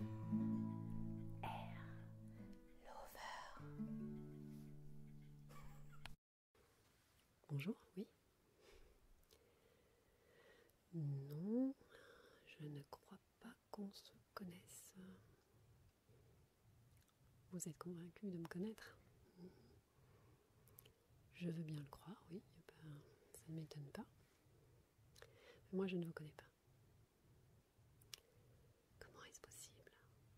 M R Bonjour, oui. Non, je ne crois pas qu'on se connaisse. Vous êtes convaincu de me connaître Je veux bien le croire, oui. ça ne m'étonne pas. Mais moi, je ne vous connais pas. Comment est-ce possible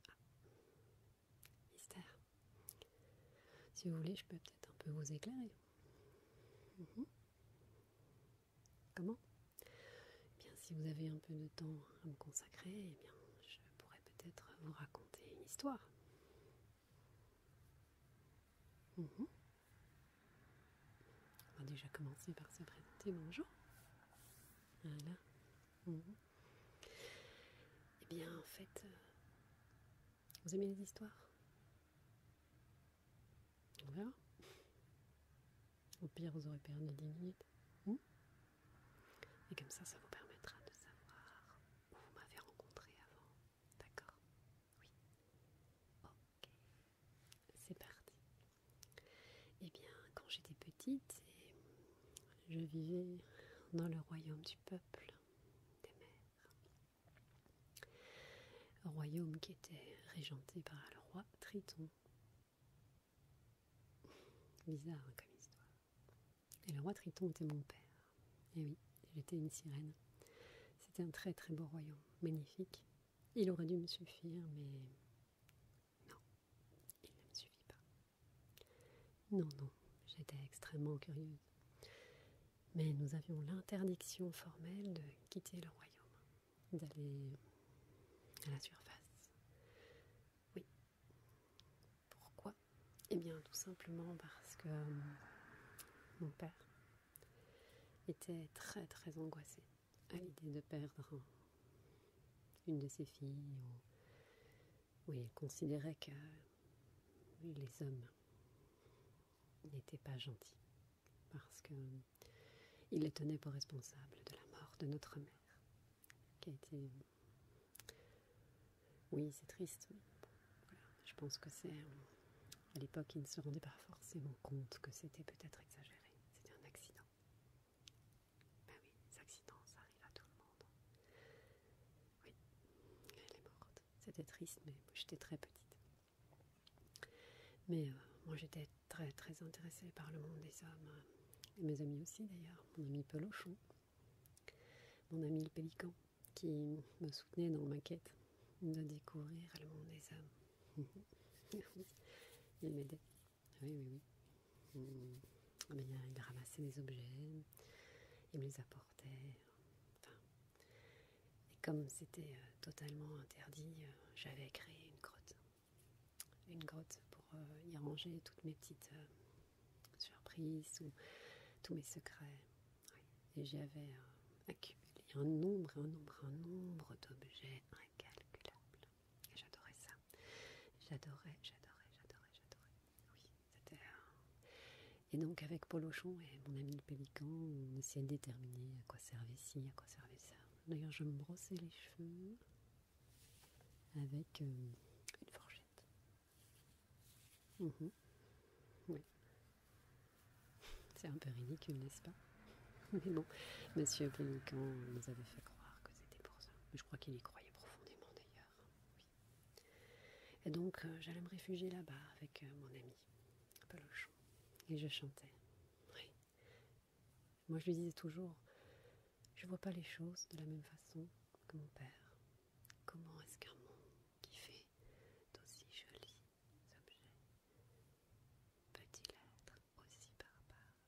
ah. Mystère. Si vous voulez, je peux peut-être un peu vous éclairer. Mhm. Comment eh Bien, si vous avez un peu de temps à me consacrer, eh bien, je pourrais peut-être vous raconter une histoire. Mhm. On va déjà commencer par se présenter. Bonjour. Voilà. Mhm. Eh bien, en fait, euh, vous aimez les histoires On Au pire, vous aurez perdu 10 minutes. Mhm. Et comme ça, ça vous permettra de savoir où vous m'avez rencontré avant. D'accord Oui. Ok. C'est parti. Eh bien, quand j'étais petite, je vivais dans le royaume du peuple des mères. Royaume qui était régenté par le roi Triton. Bizarre hein, comme histoire. Et le roi Triton était mon père. Et eh oui, j'étais une sirène. C'était un très très beau royaume, magnifique. Il aurait dû me suffire, mais non, il ne me suffit pas. Non, non, j'étais extrêmement curieuse. Mais nous avions l'interdiction formelle de quitter le royaume, d'aller à la surface. Oui. Pourquoi Eh bien, tout simplement parce que euh, mon père était très très angoissé à l'idée de perdre une de ses filles, où il considérait que les hommes n'étaient pas gentils, parce que les tenaient pour responsables de la mort de notre mère, qui a été... Oui, c'est triste, je pense que c'est... À l'époque, il ne se rendait pas forcément compte que c'était peut-être exagéré c'était un accident. Ben oui, les accidents, ça arrive à tout le monde. Oui, elle est morte. C'était triste, mais j'étais très petite. Mais euh, moi, j'étais très très intéressée par le monde des hommes, euh, et mes amis aussi d'ailleurs, mon ami Pelochon, mon ami le Pélican, qui me soutenait dans ma quête de découvrir le monde des hommes il m'aidait. Oui, oui, oui. il ramassait des objets, il me les apportait. et comme c'était euh, totalement interdit, euh, j'avais créé une grotte. Une grotte pour euh, y ranger toutes mes petites surprises ou tous mes secrets. Et j'avais accumulé un nombre, un nombre, un nombre d'objets incalculable. j'adorais ça. J'adorais, j'adorais, j'adorais, j'adorais. Oui, c'était... Et donc avec polochon et mon ami le Pélican, on essayait de déterminer à quoi servait ci, à quoi servait ça. D'ailleurs, je me brossais les cheveux avec euh, une fourchette. Mhm. Oui. C'est un peu ridicule, n'est-ce pas Mais bon, Monsieur Pélican nous avait fait croire que c'était pour ça. je crois qu'il y croyait profondément d'ailleurs. Et donc, euh, j'allais me réfugier là-bas avec euh, mon ami, Pelochon. Et je chantais. Moi, je lui disais toujours Je ne vois pas les choses de la même façon que mon père. Comment est-ce qu'un monde qui fait d'aussi joli, objets. Peut-il être aussi barbare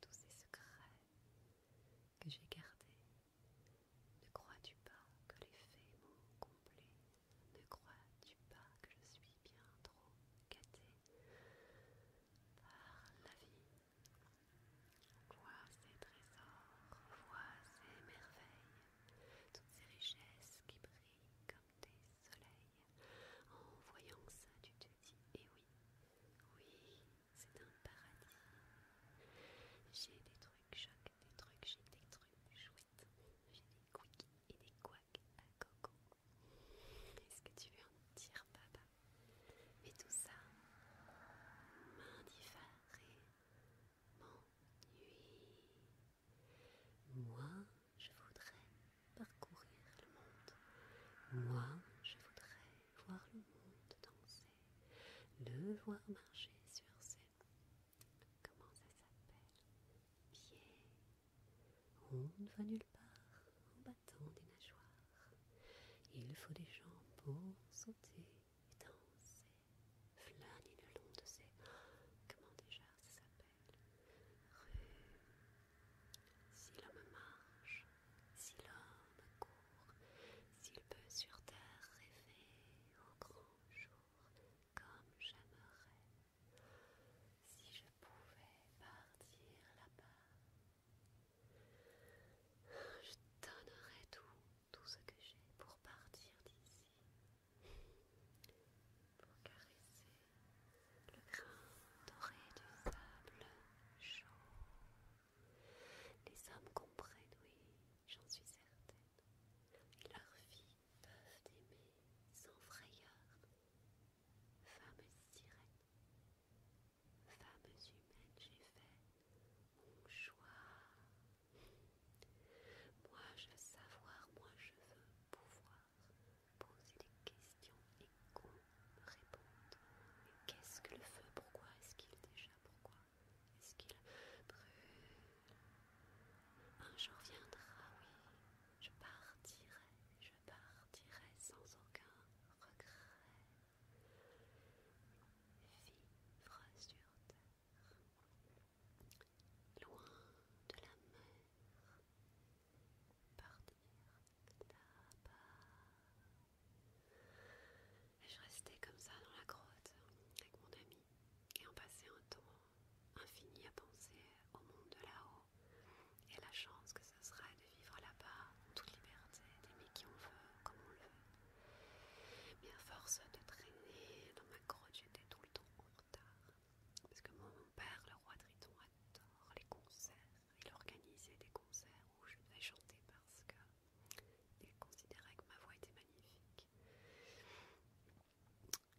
Tous ces secrets que j'ai gardés, ne crois-tu pas que les faits m'ont comblé Ne crois-tu pas que je suis bien trop gâtée par la vie Vois ces trésors, vois ces merveilles, toutes ces richesses qui brillent comme des soleils. En voyant ça, tu te dis, et eh oui, oui, c'est un paradis. J'ai des trucs chocs, des trucs j'ai des trucs chouettes. J'ai des quickies et des quacks à coco. Est-ce que tu veux en dire, papa Mais tout ça m'indiffère et m'ennuie. Moi, je voudrais parcourir le monde. Moi, je voudrais voir le monde danser, le voir marcher sur ses... Comment ça s'appelle Pieds. On ne va nulle part en battant des nageoires. Il faut des gens pour sauter et danser flâne le long de ces... Comment déjà ça s'appelle Rue. Si l'homme marche, si l'homme court, s'il peut sur terre rêver au grand jour, comme j'aimerais, si je pouvais partir là-bas, je donnerais tout, tout ce que j'ai pour partir d'ici pour caresser le grain doré du sable chaud. Les hommes comprennent, oui, j'en suis certaine, leurs filles peuvent aimer sans frayeur. Femmes sirènes, femmes humaines, j'ai fait mon choix moi je veux savoir, moi je veux pouvoir poser des questions et qu'on me réponde. Qu'est-ce que le feu Pourquoi est-ce qu'il déjà Pourquoi est-ce qu'il brûle Un jour viendra, oui, je partirai, je partirai sans aucun regret. Vivre sur terre loin de la mer, partir là-bas. Et je restais comme ça dans la grotte avec mon ami et on passait un temps infini à penser au monde de là-haut et la chance que ce serait de vivre là-bas, en toute liberté, d'aimer qui on veut, comme on le veut. Mais à force de traîner dans ma grotte, j'étais tout le temps parce que mon père, le roi Triton, adore les concerts. Il organisait des concerts où je devais chanter parce qu'il considérait que ma voix était magnifique.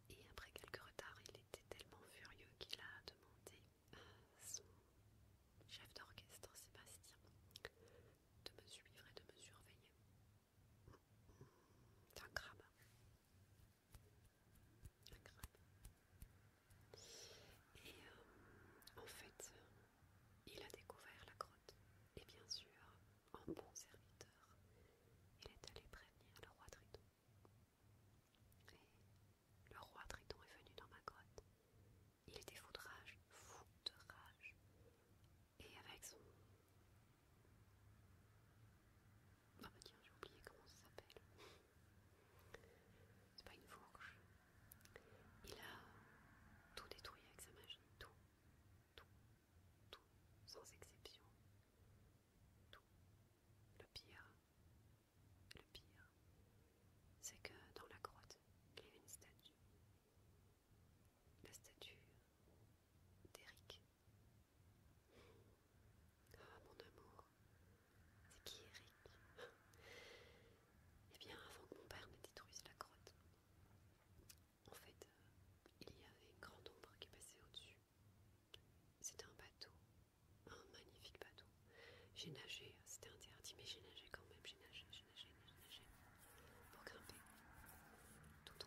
Et après quelques retards, il était tellement furieux qu'il a demandé à son chef d'orchestre, Sébastien, de me suivre et de me surveiller. C'est un crabe. Un crabe. Et euh, en fait, il a découvert la grotte. Et bien sûr, un bon serviteur, il est allé prévenir le roi Triton. Et le roi Triton est venu dans ma grotte. Il était fou de rage, fou de rage. Et avec son. Ah bah tiens, j'ai oublié comment ça s'appelle. C'est pas une fourche. Il a tout détruit avec sa magie. Tout. Tout. Tout. Sans exception. Tout. Le pire. Le pire. C'est que dans la grotte, il y avait une statue la statue d'Eric. Ah mon amour, c'est qui Eric Eh bien, avant que mon père ne détruise la grotte, en fait, euh, il y avait une grande ombre qui passait au-dessus. C'était un bateau, un magnifique bateau. J'ai nagé, c'était interdit, mais j'ai nagé quand même, j'ai nagé, j'ai nagé, j'ai nagé, pour grimper tout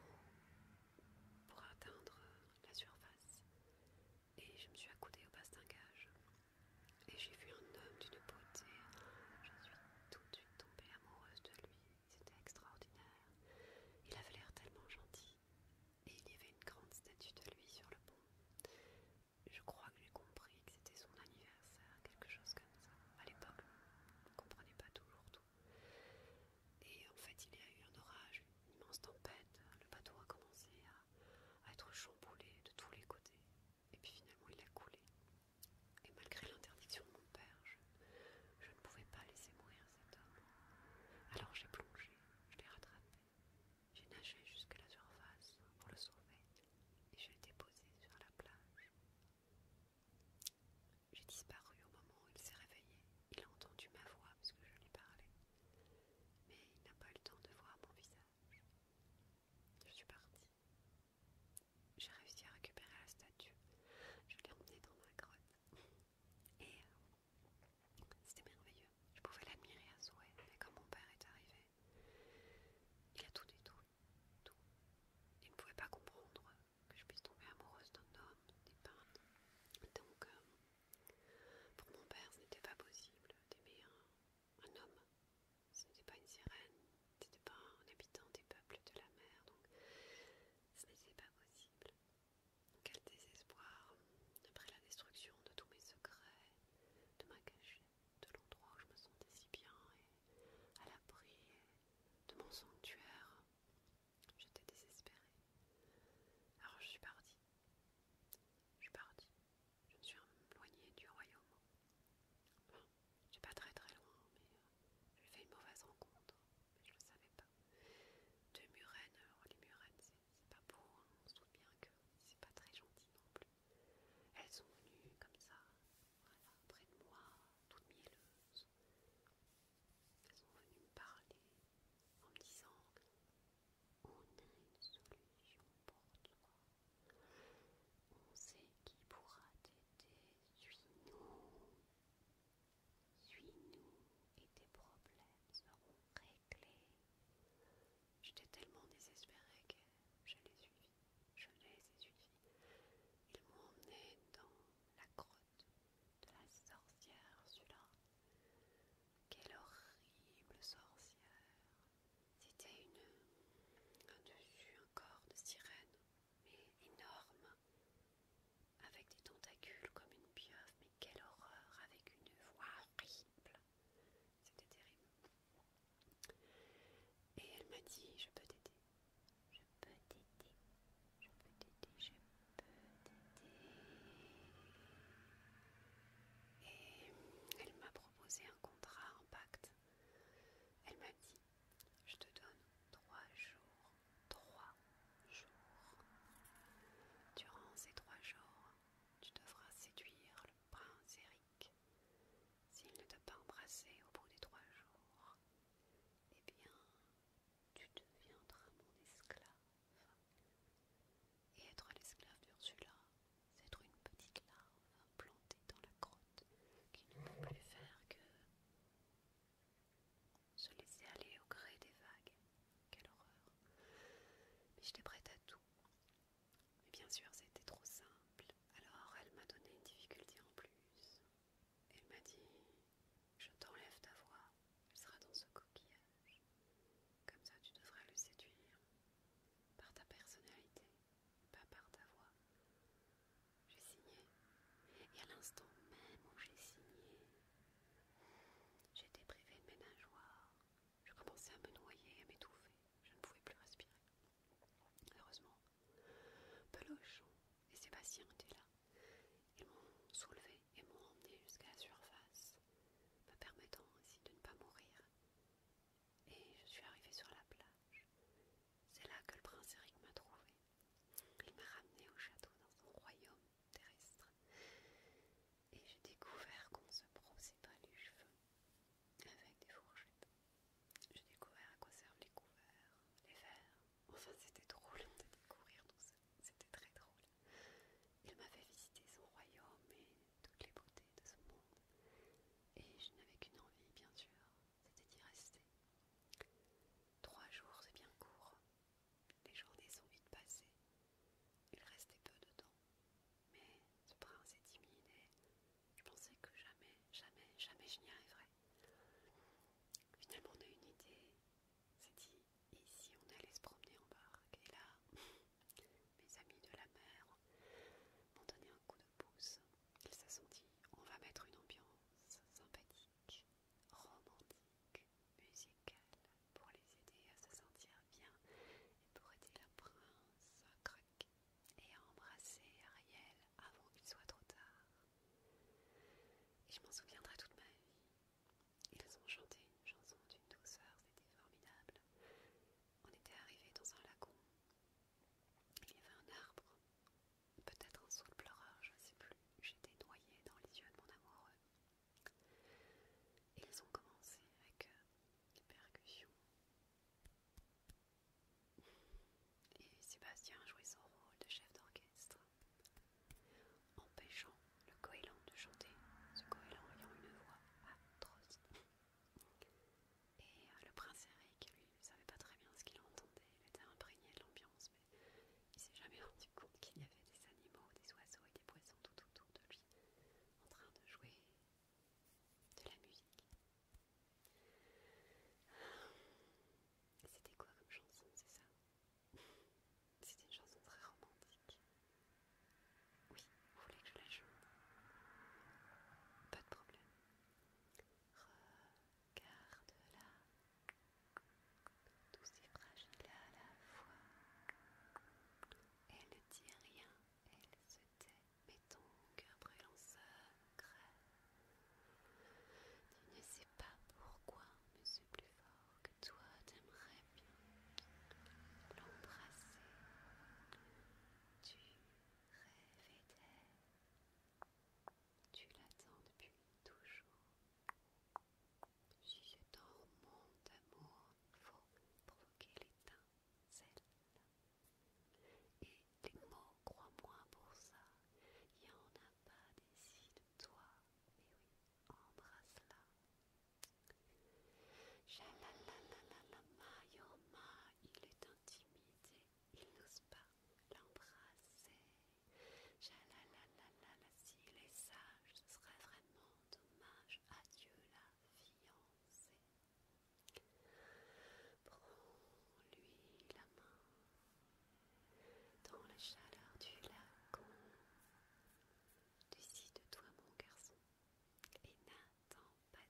pour atteindre la surface. Et je me suis accoudée au bastingage. Et j'ai vu un homme d'une beauté. Je suis tout de suite tombée amoureuse de lui. C'était extraordinaire. Il avait l'air tellement gentil. Et il y avait une grande statue de lui sur le pont. Je crois que j'ai compris que c'était son anniversaire, quelque chose comme ça. À l'époque, je comprenais pas toujours tout. Et en fait, il y a eu un orage, une immense tempête. Le bateau a commencé à, être chamboulé de tous les côtés. Et puis finalement, il a coulé. Et malgré l'interdiction de mon père, je, je ne pouvais pas laisser mourir cet homme. Alors j'ai plongé, je l'ai rattrapé. J'ai nagé jusqu'à la surface pour le sauver et j'ai été déposé sur la plage j'ai disparu au moment où il s'est réveillé. Il a entendu ma voix parce que je lui parlais. Mais il n'a pas eu le temps de voir mon visage. Je suis partie. J'ai réussi à récupérer la statue. Je l'ai emmenée dans ma grotte. Et euh, c'était merveilleux. Je pouvais l'admirer à souhait. Mais quand mon père est arrivé, il a tout détruit. Tout. Il ne pouvait pas comprendre que je puisse tomber amoureuse d'un homme, des peintres. Donc, euh, pour mon père, ce n'était pas possible d'aimer un, homme. Ce n'était pas une sirène, ce n'était pas un habitant des peuples de la mer, donc ce n'était pas possible. Quel désespoir, après la destruction de tous mes secrets, de ma cachette, de l'endroit où je me sentais si bien à l'abri de mon sanctuaire. J'étais désespérée. Alors je suis partie. Je suis partie. Je me suis éloignée du royaume. ne j'ai pas très très loin, mais euh, j'ai fait une mauvaise rencontre. je le savais pas. Deux murennes, alors les c'est pas beau, hein, on se souvient que c'est pas très gentil non plus. Elles sont venues comme ça, voilà, près de moi, toutes mielleuse. Elles sont venues me parler en me disant On a une solution pour toi. On sait qui pourra t'aider. Suis-nous. Suis-nous et tes problèmes seront réglés. J'étais tellement désespérée que je les je l'ai ai suivis. Ils m'ont emmené dans la grotte de la sorcière celui-là. Quelle horrible sorcière C'était une... un dessus, un corps de sirène, mais énorme, avec des tentacules comme une pieuvre, mais quelle horreur, avec une voix horrible C'était terrible. Et elle m'a dit Je peux t'aider. Je peux t'aider. Je peux t'aider. Je peux t'aider. Et elle m'a proposé un contrat, en pacte. Elle m'a dit Je te donne trois jours. Trois jours. Durant ces trois jours, tu devras séduire le prince Eric s'il ne t'a pas embrassé au bout des trois jours, eh bien, tu deviendras mon esclave. Et être l'esclave d'Ursula, c'est être une petite larve plantée dans la grotte qui ne peut plus faire que se laisser aller au gré des vagues. Quelle horreur. Mais j'étais prête à tout. Mais bien sûr, c'était trop simple. Alors elle m'a donné une difficulté en plus. Elle m'a dit Je t'enlève ta voix, elle sera dans ce coquillage. Comme ça, tu devrais le séduire par ta personnalité, pas par ta voix. J'ai signé. Et à l'instant même où j'ai signé, j'étais privée de mes nageoires. Je commençais à me noyer, à m'étouffer. Je ne pouvais plus respirer. Heureusement, Peloche et Sébastien étaient là. Ils m'ont soulevé et m'ont emmené jusqu'à la surface, me permettant ainsi de ne pas mourir. Et je suis arrivée sur la plage. C'est là que le prince Eric m'a trouvé. Il m'a ramené au château dans son royaume terrestre. Et j'ai découvert qu'on se brossait pas les cheveux avec des fourchettes. J'ai découvert à quoi servent les couverts, les verres. Enfin, c'était drôle de découvrir tout ça. C'était très drôle. Il m'a fait visiter son royaume et toutes les beautés de ce monde. Et je n'avais qu'une envie, bien sûr, c'était d'y rester. Trois jours, c'est bien court. Les journées sont vite passées. Il restait peu de temps. Mais ce prince est timide et je pensais que jamais, jamais, jamais je n'y arriverais. Finalement, on a une idée. C'est dit, ici on allait se promener en barque. Et là, mes amis de la mer m'ont donné un coup de pouce. Ils se sont dit, on va mettre une ambiance sympathique, romantique, musicale pour les aider à se sentir bien et pour aider la princesse et à embrasser Ariel avant qu'il soit trop tard. Et je m'en souviendrai toute ma vie. Ils ont chanté une chanson d'une douceur, c'était formidable. On était arrivés dans un lagon. Il y avait un arbre, peut-être un saule pleureur, je ne sais plus. J'étais noyée dans les yeux de mon amoureux. Ils ont commencé avec des euh, percussions. Et Sébastien jouait son rôle de chef d'orchestre, empêchant le goéland de chanter, ce goéland ayant une voix atroce. Et euh, le prince Eric, lui, ne savait pas très bien ce qu'il entendait, il était imprégné de l'ambiance, mais il s'est jamais rendu compte qu'il y avait des animaux, des oiseaux et des poissons tout autour de lui, en train de jouer de la musique. C'était quoi comme chanson, c'est ça C'était une chanson très romantique. Oui, vous voulez que je la joue Pas de problème. Regarde-la, tout et fragile à la fois. Elle ne dit rien, elle se mais cœur ton brûlant secret. Tu ne sais pas pourquoi, mais c'est plus fort que toi, t'aimerais bien l'embrasser. Tu rêvais d'elle. Tu l'attends depuis toujours. Si c'est un roman d'amour, faut provoquer l'éteint. Et les mots, crois-moi pour ça, il n'y en a pas d'ici de toi. Mais eh oui, embrasse-la. Mayoma, il est intimidé, il n'ose pas l'embrasser. Jalalalala, s'il est sage, ce serait vraiment dommage. Adieu la fiancée. Prends-lui la main dans la chaleur du lac. de toi mon garçon, et n'attends pas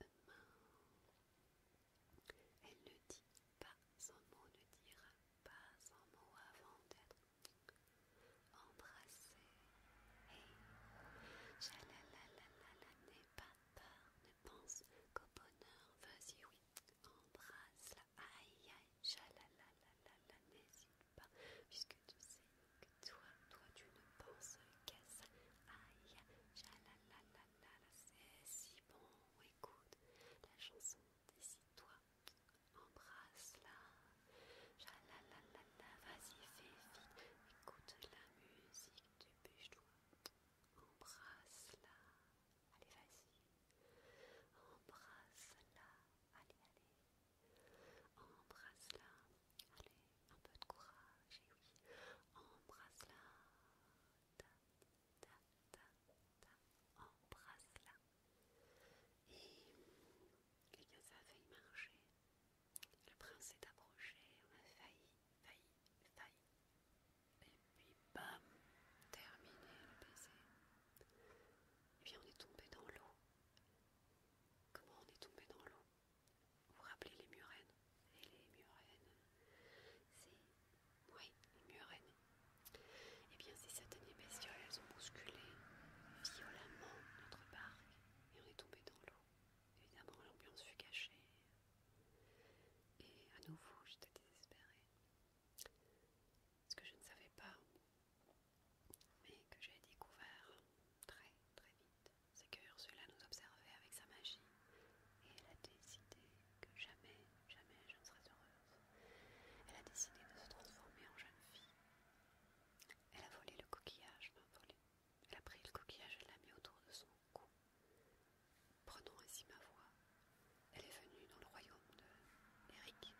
de main. Elle ne dit pas un mot, ne dira pas un mot avant d'être embrassée n'aie pas peur, ne pense qu'au bonheur, vas-y oui, embrasse-la, aïe aïe, la n'hésite pas, puisque tu sais que toi, toi tu ne penses qu'à ça, aïe la c'est si bon, écoute la chanson, décide-toi, embrasse-la, la vas-y fais vite, écoute la musique dépêche-toi, embrasse-la, allez vas-y, embrasse-la, allez, allez, embrasse-la, allez, un peu de courage, et eh oui, embrasse-la, ta, ta, ta, ta, embrasse-la, et, quelqu'un ça a marcher. Le prince s'est approché, on a failli, failli, failli. Et puis bam, terminé le baiser. Et bien on est tombé dans l'eau. Comment on est tombé dans l'eau Vous vous rappelez les murennes Et les murennes, c'est... Oui, les murennes. Et eh bien ces certaines bestioles, elles ont bousculé violemment notre barque et on est tombé dans l'eau. Évidemment, l'ambiance fut cachée. Et à nouveau, j'étais désespérée. Ce que je ne savais pas, mais que j'ai découvert très très vite, c'est que Ursula nous observait avec sa magie. Et elle a décidé que jamais, jamais je ne serais heureuse. Elle a décidé de se transformer en jeune fille. Elle a volé le coquillage, m'a volé. Elle a pris le coquillage et l'a mis autour de son cou. Prenant ainsi ma voix, elle est venue dans le royaume de Eric.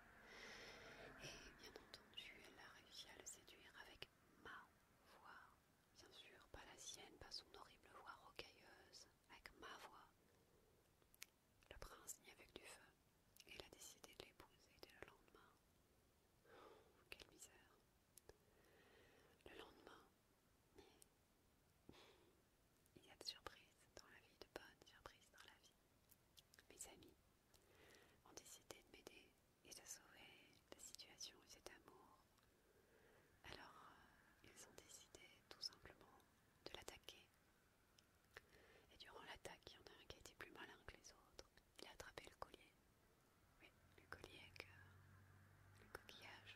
Et bien entendu, elle a réussi à le séduire avec ma voix. Bien sûr, pas la sienne, pas son horrible voix rocailleuse, avec ma voix. Le prince n'y avait du feu. Et elle a décidé de l'épouser dès le lendemain. Oh, quelle misère. Le lendemain, il y a de surprises dans la vie, de bonnes surprises dans la vie. Mes amis ont décidé de m'aider et de sauver la situation et cet amour. Alors, euh, ils ont décidé tout simplement de l'attaquer. Et durant l'attaque, il y en a un qui a plus malin que les autres. Il a attrapé le collier. Oui, le collier avec euh, le coquillage.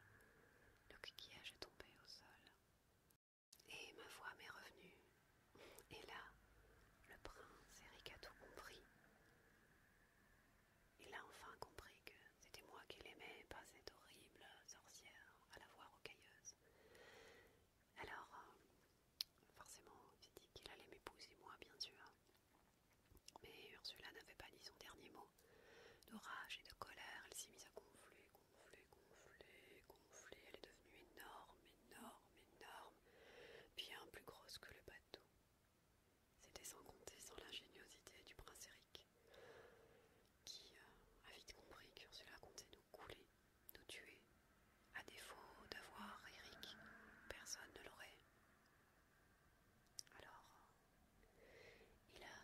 Le coquillage est tombé au sol. Et ma voix m'est revenue. Et là, le prince Eric a tout compris. Il a enfin compris que c'était moi qu'il aimait, pas cette horrible sorcière à la voix rocailleuse. Alors, euh, forcément, il dit qu'il allait m'épouser, moi, bien sûr. Mais Ursula n'avait pas dit son dernier mot. De rage et de colère, elle s'est mise à gonfler, gonfler, gonfler, gonfler. Elle est devenue énorme, énorme, énorme, bien plus grosse que le bateau. C'était sans compter sans l'ingéniosité du prince Eric, qui euh, a vite compris qu'Ursula comptait nous couler, nous tuer, à défaut d'avoir Eric, personne ne l'aurait. Alors, il a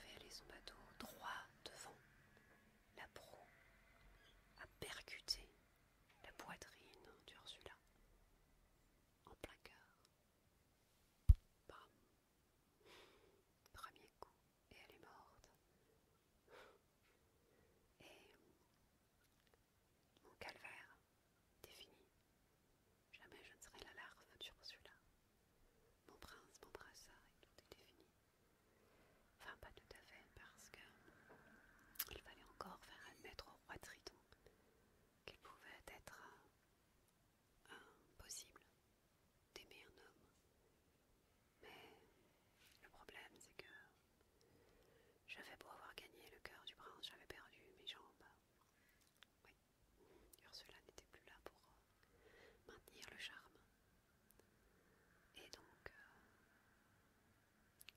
fait aller son bateau droit devant. La proue a percuté la poitrine d'Ursula en plein cœur. Premier coup, et elle est morte. Et mon calvaire, défini. Jamais je ne serai la larve celui-là, Mon prince mon et tout était défini. Enfin, pas tout à fait, parce que il fallait encore faire admettre au roi Triton qu'il pouvait être impossible d'aimer un homme. Mais le problème, c'est que j'avais pour avoir gagné le cœur du prince, j'avais perdu mes jambes. Oui, Ursula n'était plus là pour euh, maintenir le charme. Et donc, euh,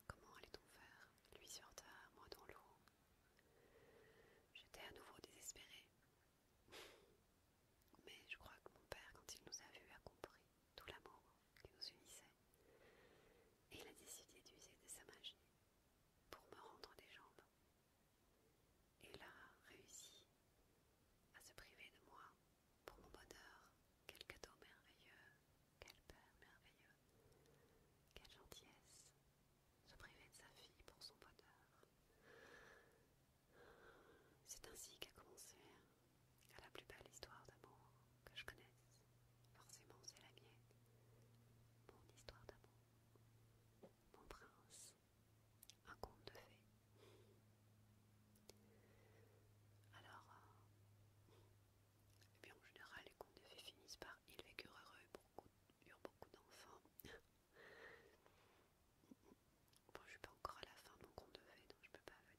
comment allait-on faire Lui sur terre, moi dans l'eau. J'étais à nouveau désespérée. Mais je crois que mon père, quand il nous a vus, a compris tout l'amour qui nous unissait, et il a décidé d'user de sa magie pour me rendre des jambes. Et il a réussi à se priver de moi pour mon bonheur. Quel cadeau merveilleux, quel père merveilleux, quelle gentillesse, se priver de sa fille pour son bonheur. C'est ainsi qu'a commencé la plus belle histoire d'amour que je connaisse. Forcément, c'est la mienne. Mon histoire d'amour. Mon prince. Un conte de fées. Alors, et euh, bien en général, les contes de fées finissent par ils vécurent heureux, beaucoup, eurent beaucoup d'enfants. bon, je suis pas encore à la fin de mon conte de fées, donc je peux pas venir.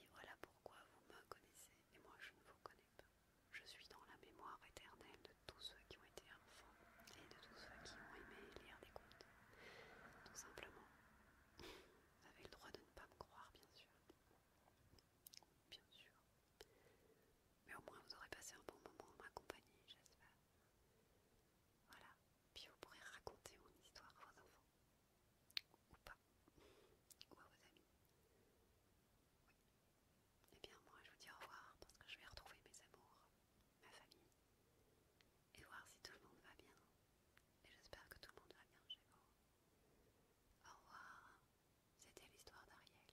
Et voilà pourquoi vous me connaissez et moi je ne vous connais pas. Je suis dans la mémoire éternelle de tous ceux qui ont été enfants et de tous ceux qui ont aimé lire des contes. Tout simplement. Vous avez le droit de ne pas me croire, bien sûr. Bien sûr. Mais au moins vous aurez passé un bon moment à ma compagnie, j'espère. Voilà. Puis vous pourrez raconter mon histoire à vos enfants ou pas, ou à vos amis. Eh bien moi je vous dis au revoir parce que je vais retrouver mes amours, ma famille, et voir si tout le monde va bien. Et j'espère que tout le monde va bien chez vous. Au revoir, c'était l'histoire d'Ariel.